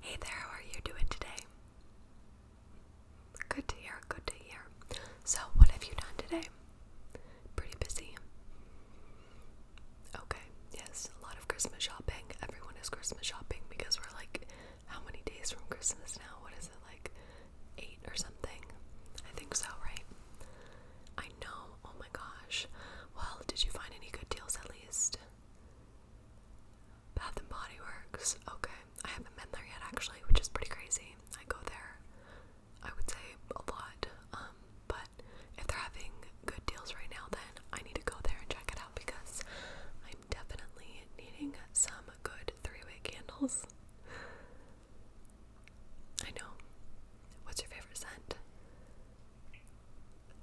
Hey there, how are you doing today? Good to hear, good to hear. So, what have you done today? Pretty busy. Okay, yes, a lot of Christmas shopping. Everyone is Christmas shopping because we're like, how many days from Christmas now? What is it, like eight or something? I think so, right? I know, oh my gosh. Well, did you find any good deals at least? Bath and Body Works. Okay, I haven't been there yet actually, which is pretty crazy. I go there, I would say a lot. Um, but if they're having good deals right now, then I need to go there and check it out because I'm definitely needing some good three-way candles. I know. What's your favorite scent?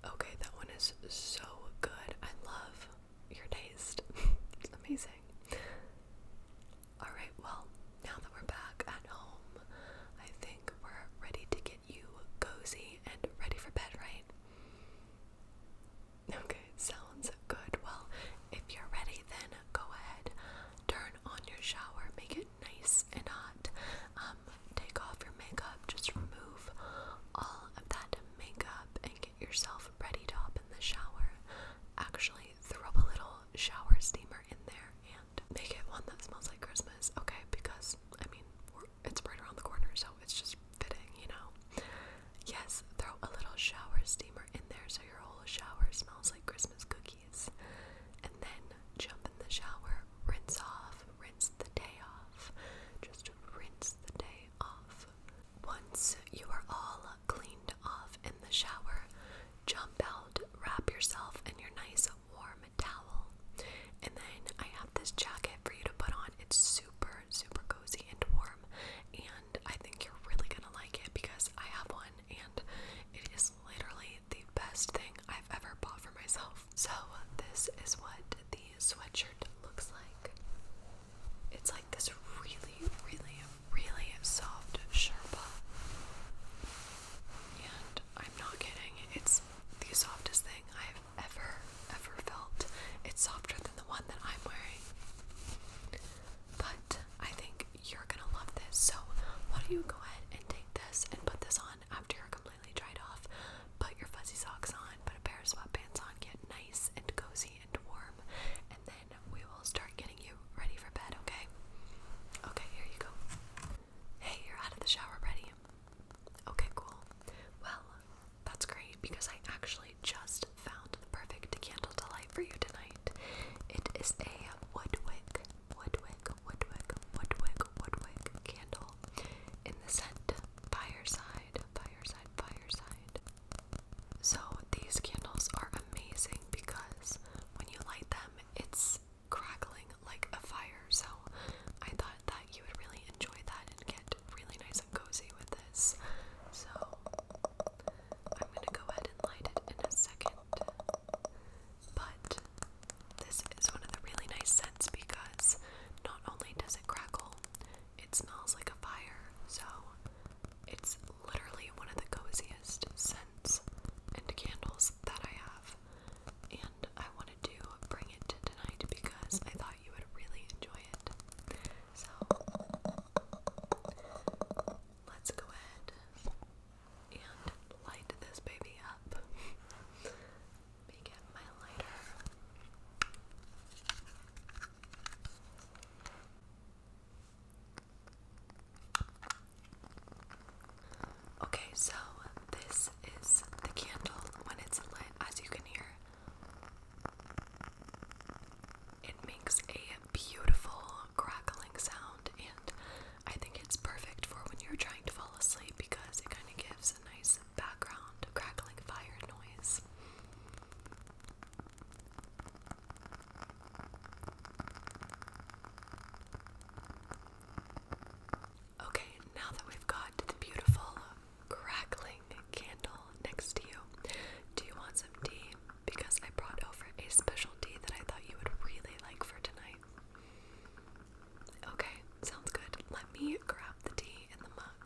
Okay, that one is so good. I love your taste. it's amazing. Alright, well, now that we're back at home, I think we're ready to get you cozy and ready for bed, right? Okay, sounds good. Well, if you're ready, then go ahead, turn on your shower, make it nice and hot. Um, take off your makeup, just remove all of that makeup and get yourself ready to hop in the shower. Actually, throw a little shower steamer in there and make it one that smells like Christmas, okay? Because, I mean, it's right around the corner, so it's just fitting, you know? Yes, throw a little shower steamer in there so your whole shower smells like Christmas cookies. And then jump in the shower, rinse off, rinse the day off, just rinse the day off. Once you are all cleaned off in the shower, jump out, wrap yourself in your nice warm towel, and then I have this jacket for you to put on. It's super, super cozy and warm, and I think you're really gonna like it because I have one and it is literally the best thing I've ever bought for myself. So, this is what the sweatshirt looks like. It's like this really, really, really soft Sherpa. And I'm not kidding, it's the softest thing I've ever, ever felt. It's softer than the one that I'm wearing. But I think you're gonna love this. So, why don't you go ahead and take this and put this on on after you're completely dried off. Put your fuzzy socks on, put a pair of sweatpants on, get nice and cozy and warm, and then we will start getting you ready for bed, okay? Okay, here you go. Hey, you're out of the shower ready. Okay, cool. Well, that's great because I actually just found the perfect candle to light for you tonight. It is a Woodwick, Woodwick, Woodwick, Woodwick, Woodwick candle in the scent Fireside, Fireside, Fireside. So these candles are amazing because when you light them, it's crackling like a fire. So I thought that you would really enjoy that and get really nice and cozy with this. So I'm gonna go ahead and light it in a second. But this is one of the really nice scents because not only does it crackle, it smells like a fire. So it's literally one of the coziest scents and candles that I have. And I wanted to bring it to tonight because I thought you would really enjoy it. So let's go ahead and light this baby up. Okay, so this is the candle when it's lit, as you can hear. It makes a beautiful crackling sound, and I think it's perfect for when you're trying to fall asleep because it kind of gives a nice background crackling fire noise. Okay, now that we've got the beautiful crackling candle next to you, do you want some tea? Because I brought over a special tea that I thought you would really like for tonight. Okay, sounds good. Let me grab the tea in the mug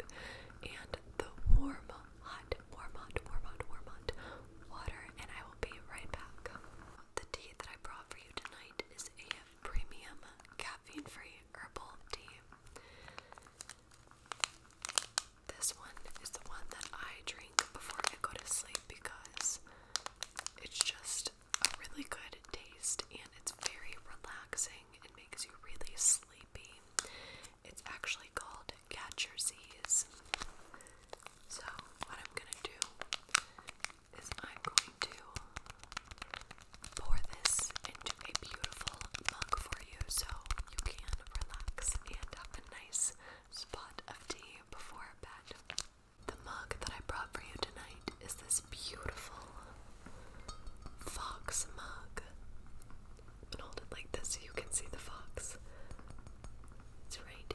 and the warm, hot, warm, hot, warm, hot, warm, hot water, and I will be right back. The tea that I brought for you tonight is a premium caffeine free herbal tea. This one is the one that I drink before I go to sleep because it's just a really good taste and it's very relaxing. It makes you really sleepy. It's actually called Catch Your Z's. So, what I'm gonna do is I'm going to pour this into a beautiful mug for you so you can relax and have a nice spot of tea before bed. The mug that I brought for you tonight is this beautiful fox mug. hold it like this so you can see the fox. It's right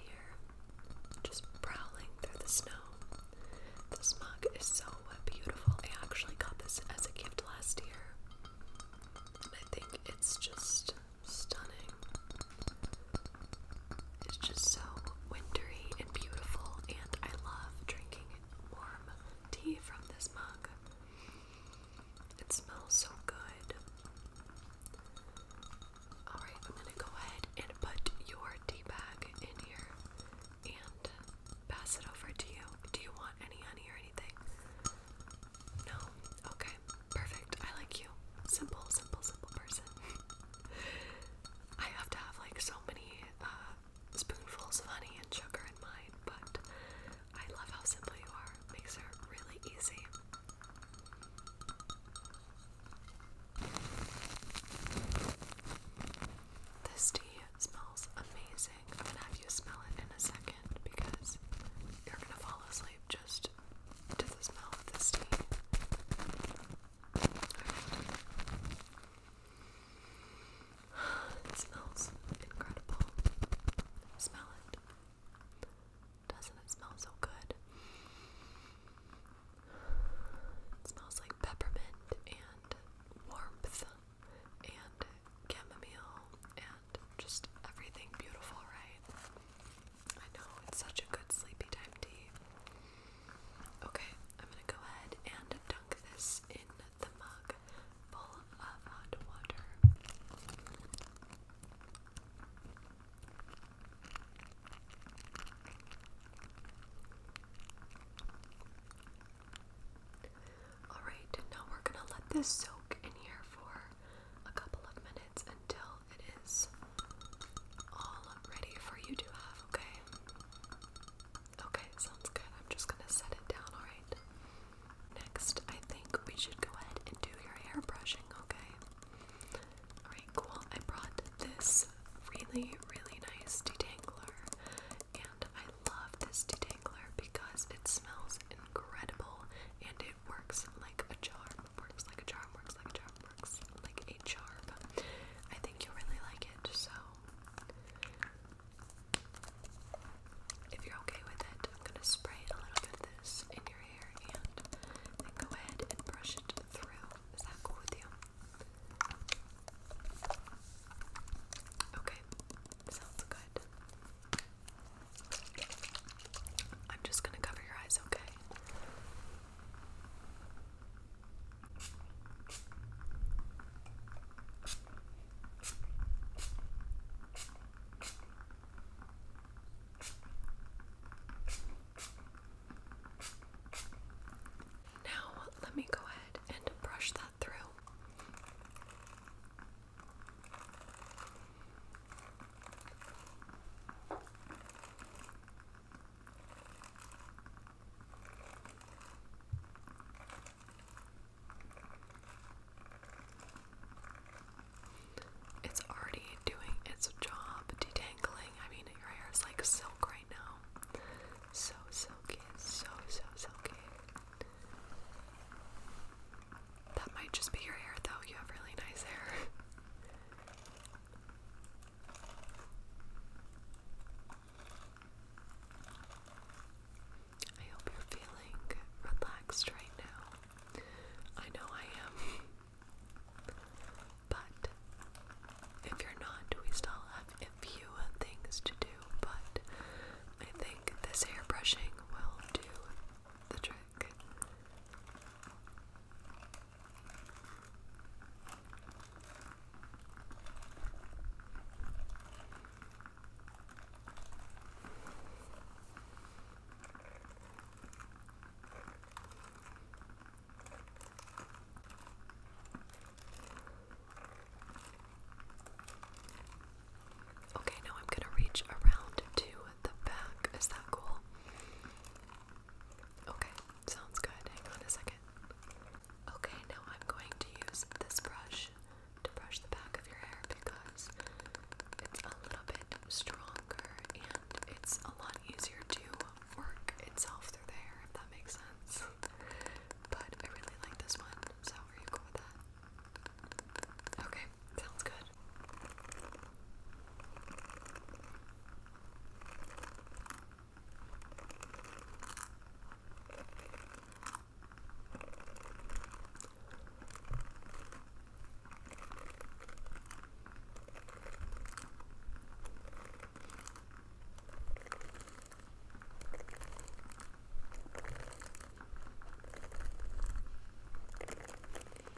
just prowling through the snow. This mug is so beautiful. I actually got this as a gift last year. I think it's just stunning. It's just so wintry and beautiful, and I love drinking warm tea from this mug. It smells so good. Alright, I'm gonna go ahead and put your tea bag in here and pass it over to you. Do you want any honey or anything? No? Okay, perfect. I like you. Simple, simple, simple person. I have to have like so many uh, spoonfuls of honey and sugar in mine, but I love how simple you are. Makes it really easy. This tea smells amazing. I'm gonna have you smell it in a second because you're gonna fall asleep just to the smell of this tea. It smells incredible. Smell it. Doesn't it smell so good? It smells like peppermint and warmth and chamomile and just everything beautiful, right? I know, it's such a good sleepy time tea. Okay, I'm gonna go ahead and dunk this in the mug full of hot water. Alright, now we're gonna let this soak in here for a couple of minutes until it is all ready for you to have, okay? Okay, sounds good. I'm just gonna set it down, alright? Next, I think we should go ahead and do your hair brushing, okay? Alright, cool. I brought this really, really nice detangler, and I love this detangler because it smells incredible and it works like a charm. Works like a charm, works like a charm looks like a I think you'll really like it, so if you're okay with it, I'm gonna spray a little bit of this in your hair and go ahead and brush it through. Is that cool with you? Okay, sounds good. I'm just going to cover your eyes, okay? Now, let me go ahead and brush that through. It's already doing its job detangling. I mean, your hair is like silk right now. So silky, so, so silky. That might just be your hair, though. You have really nice hair. I hope you're feeling relaxed right now. I know I am. But if you're not, we still have a few things to do. But I think this hair brushing will do the trick. Okay, now I'm going to reach around to the back. Is that cool? Okay, sounds good. Hang on a second. Okay, now I'm going to use this brush to brush the back of your hair because it's a little bit stronger and it's a lot easier to work itself through the hair, if that makes sense. but I really like this one, so are you cool with that? Okay, Sounds good.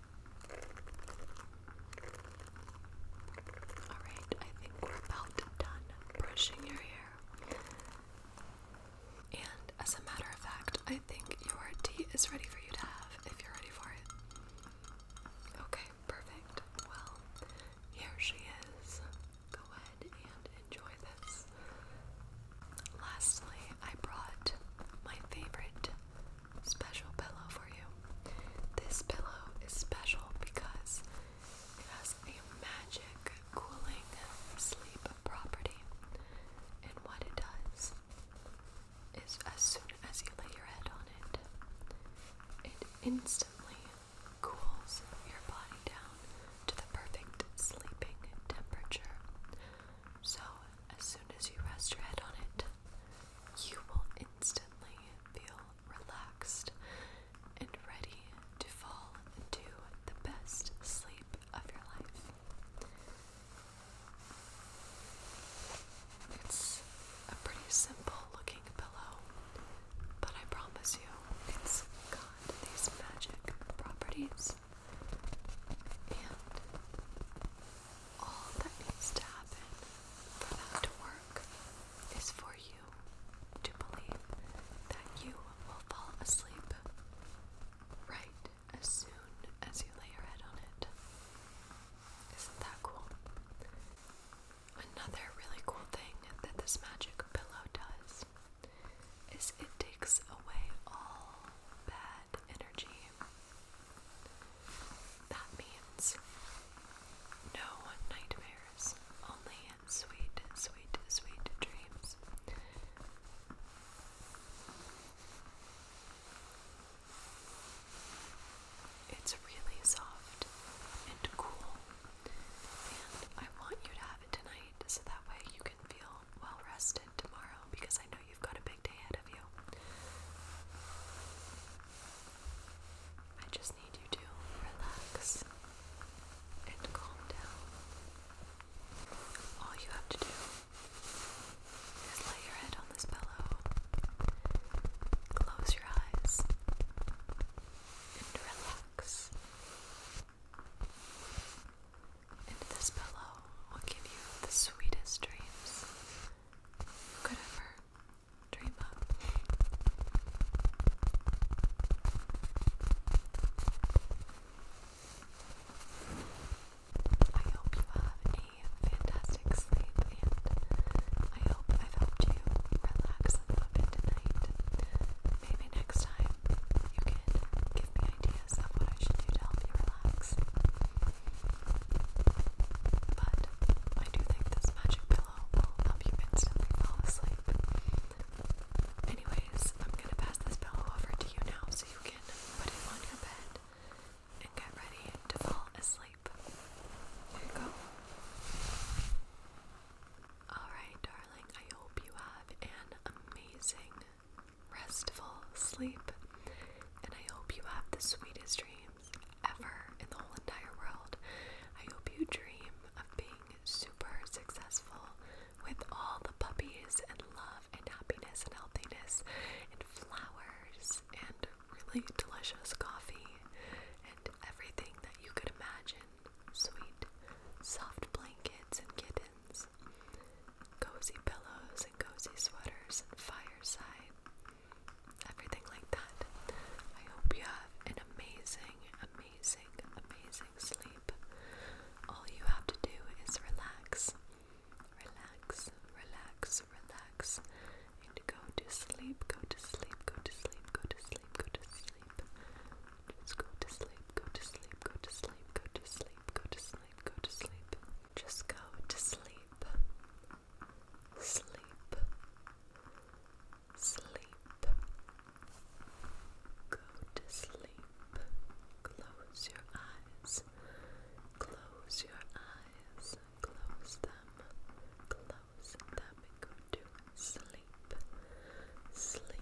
Alright, I think we're about done brushing your hair. And as a matter of fact, I think your tea is ready for you to have if you're ready for it. Okay, perfect. Well, here she is. Go ahead and enjoy this. Lastly, I brought my favorite special pillow for you. This pillow is special because it has a magic cooling sleep property. And what it does is as soon as you lay your head on it, it instantly cools your body down to the perfect sleeping temperature. So as soon as you rest your head on it, you will instantly feel relaxed and ready to fall into the best sleep of your life. It's a pretty simple looking pillow, but I promise you, it's got these magic properties and all that needs to happen for that to work is for you to believe that you will fall asleep right as soon as you lay your head on it. Isn't that cool? Another really cool thing that this magic pillow does is it takes away all bad energy. That means no nightmares, only sweet, sweet, sweet dreams. It's really soft and cool, and I want you to have it tonight so that way you feel well rested tomorrow because I know you've got a big day ahead of you. I just need you to relax and calm down. All you have to do is lay your head on this pillow, close your eyes, and relax. And this pillow will give you the sweetest dreams you could ever dream of. I hope you have a fantastic sleep, and I hope I've helped you relax a little bit tonight. Maybe next time you can give me ideas ideas of what I should do to help you relax. But I do think this magic pillow will help you instantly fall asleep. Anyways, I'm gonna pass this pillow over to you now so you can put it on your bed and get ready to fall asleep. There you go. Alright, darling, I hope you have an amazing restful sleep, and I hope you have the sweetest dreams ever in the whole entire world. I hope you dream of being super successful with all the puppies and love and happiness and healthiness and flowers and really delicious coffee and everything that you could imagine. Sweet, soft blankets and kittens pillows, cozy pillows and cozy sweaters and fireside, everything like that. I hope you have an amazing, amazing, amazing sleep. All you have to do is relax, relax, relax, relax, and go to sleep, go to sleep, go to sleep, go to sleep, go to sleep. Just go to sleep, go to sleep, go to sleep, go to sleep, go to sleep, go to sleep. Just go to sleep. Sleep. Sleep. Go to sleep. Close your eyes. Close your eyes. Close them. Close them and go to sleep. Sleep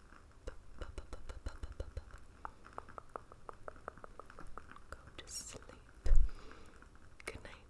Go to sleep. Good night.